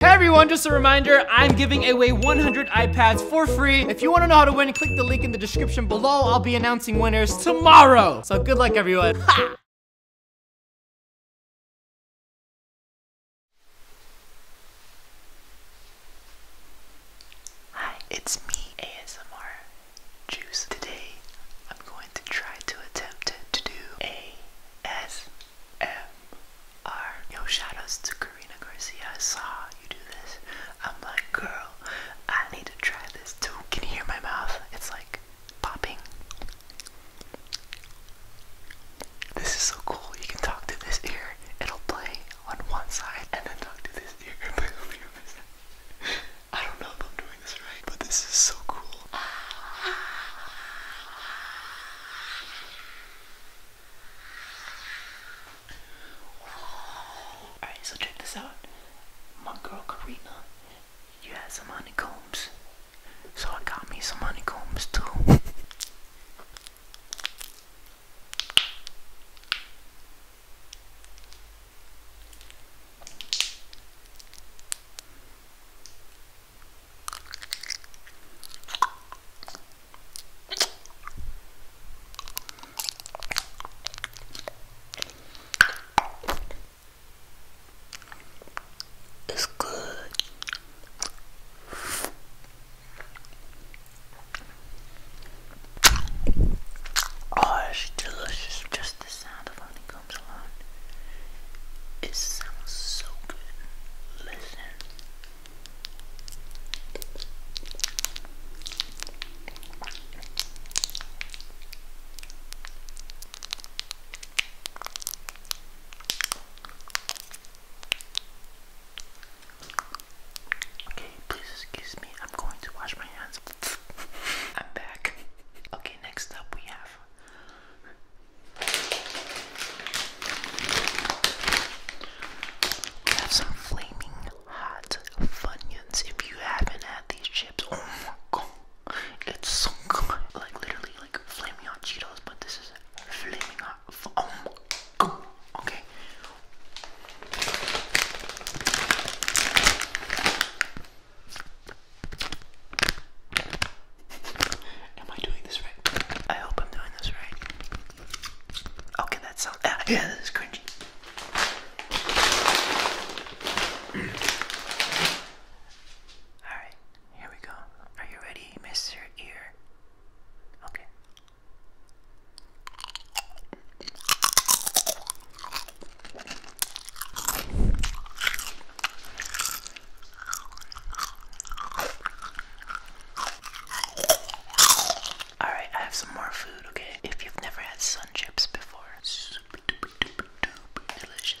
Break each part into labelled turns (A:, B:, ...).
A: Hey everyone, just a reminder, I'm giving away 100 iPads for free. If you wanna know how to win, click the link in the description below. I'll be announcing winners tomorrow. So good luck everyone. Hi, it's me, ASMR Juice. Today, I'm going to try to attempt to do ASMR MR. Yo, shout to Karina Garcia. I saw you do this. I'm like, girl, I need to try this too. Can you hear my mouth? It's like popping. This is so cool. You can talk to this ear, it'll play on one side, and then talk to this ear and play on the other side. I don't know if I'm doing this right, but this is so cool. Alright, so check this out. My girl Karina, you had some honeycombs. So I got me some honeycombs too. It's good. Oh, it's delicious. Just the sound of honeycombs. It sounds so good. Listen. Okay, please excuse me. I'm going to wash my hands. I'm back. Okay, next up we have we have flaming hot funyuns. If you haven't had these chips, oh my god, it's so good. Like literally, like flaming hot Cheetos, but this is flaming hot. Oh Okay. Am I doing this right? I hope I'm doing this right. Okay, that sounds. yeah, this is cringy. Alright, here we go. Are you ready, Mr. Ear? Okay. Alright, I have some more food, okay? If you've never had sun chips before, super delicious.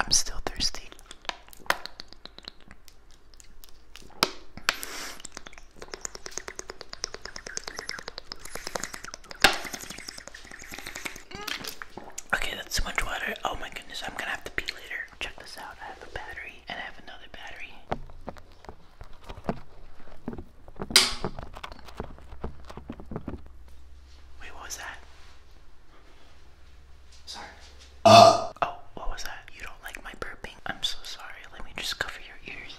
A: I'm still thirsty. Okay, that's too much water. Oh my goodness, I'm gonna have to pee later. Check this out. I have a battery and I have another battery. Wait, what was that? Sorry. Uh. Oh, what was that? You don't like my burping? I'm so sorry. Let me just cover your ears.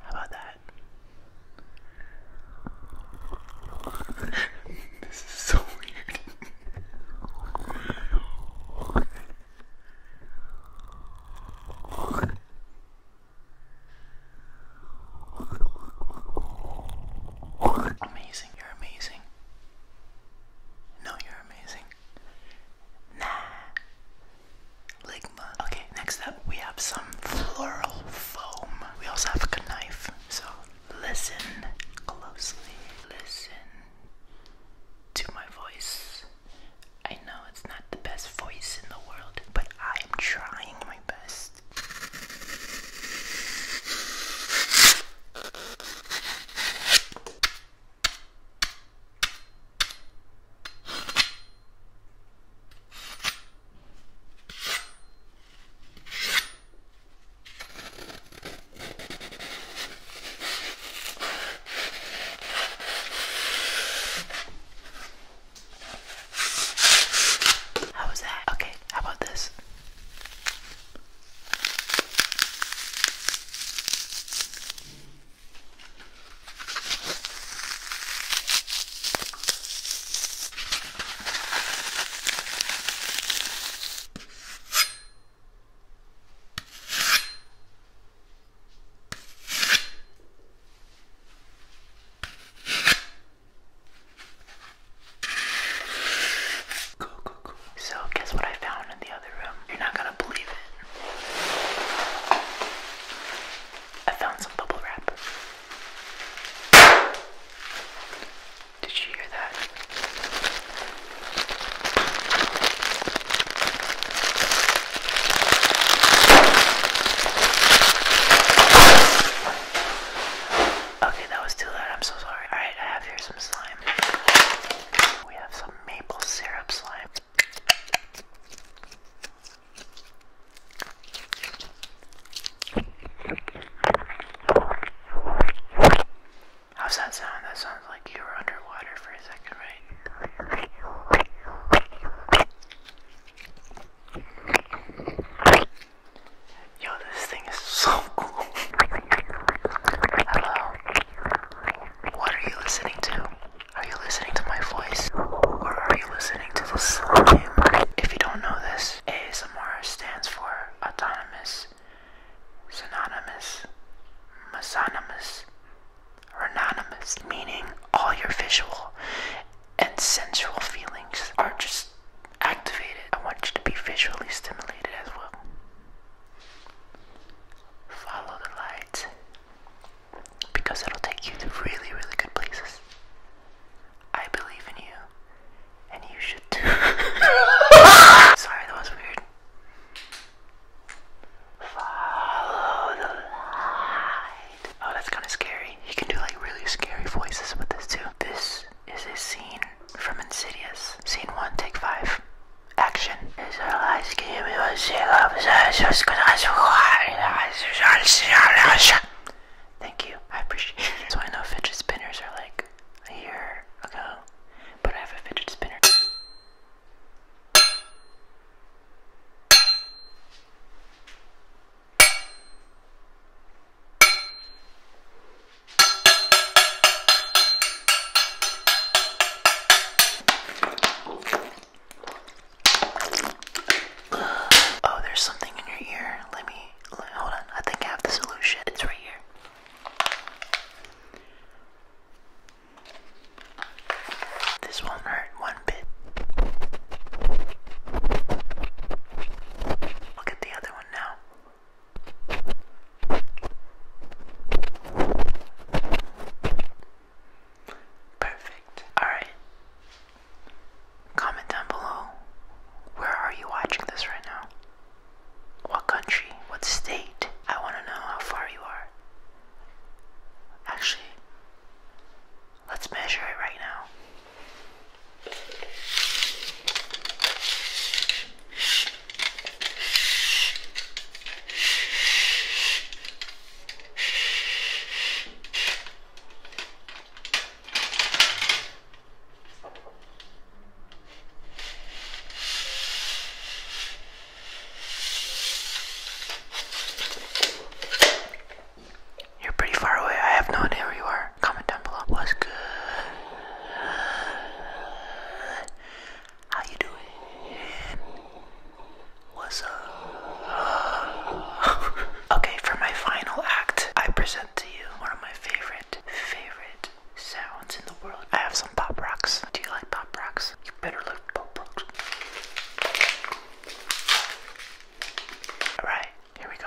A: How about that? this is so weird. Amazing, you're amazing. No, you're amazing. Nah. Ligma. Okay, next up we have some floral foam we also have a knife. So listen closely. Listen to my voice. I know it's not the best voice in the world, but I'm trying my best. How was that? Okay, how about this? So, guess what I found in the other room? You're not gonna believe it. I found some bubble wrap. Did you hear that? Okay, that was too loud. I'm so sorry. Alright, I have here some slime. We have some maple syrup slime. How's that sound? That sounds like you were underwater for a second, right? Yo, this thing is so cool. Hello. What are you listening to? Are you listening to my voice? Or are you listening to the slime? If you don't know this, ASMR stands for autonomous, synonymous, mesonymous, anonymous, meaning all your visual and sensual feelings are just activated. I want you to be visually stimulated as well. Follow the light because it'll take you to really, really good places. I believe in you, and you should too. Sorry, that was weird. Follow the light. Oh, that's kind of scary. He can do like really scary voices with this too. This is a scene from Insidious. Scene one, take five. Action. Thank you, I appreciate it. So I know fidget spinners are like a year ago, but I have a fidget spinner. Oh, there's something in your ear. Let me hold on. I think I have the solution. It's right here. This won't hurt one bit. Look at the other one now. Perfect. Alright. Comment down below. Where are you watching this right now? What country? What state? I want to know how far you are. Actually, let's measure it right now. You're pretty far away. I have no idea where you are. Comment down below. What's good? How you doing? Uh, okay, for my final act, I present to you one of my favorite, favorite sounds in the world. I have some pop rocks. Do you like pop rocks? You better like pop rocks. Alright, here we go.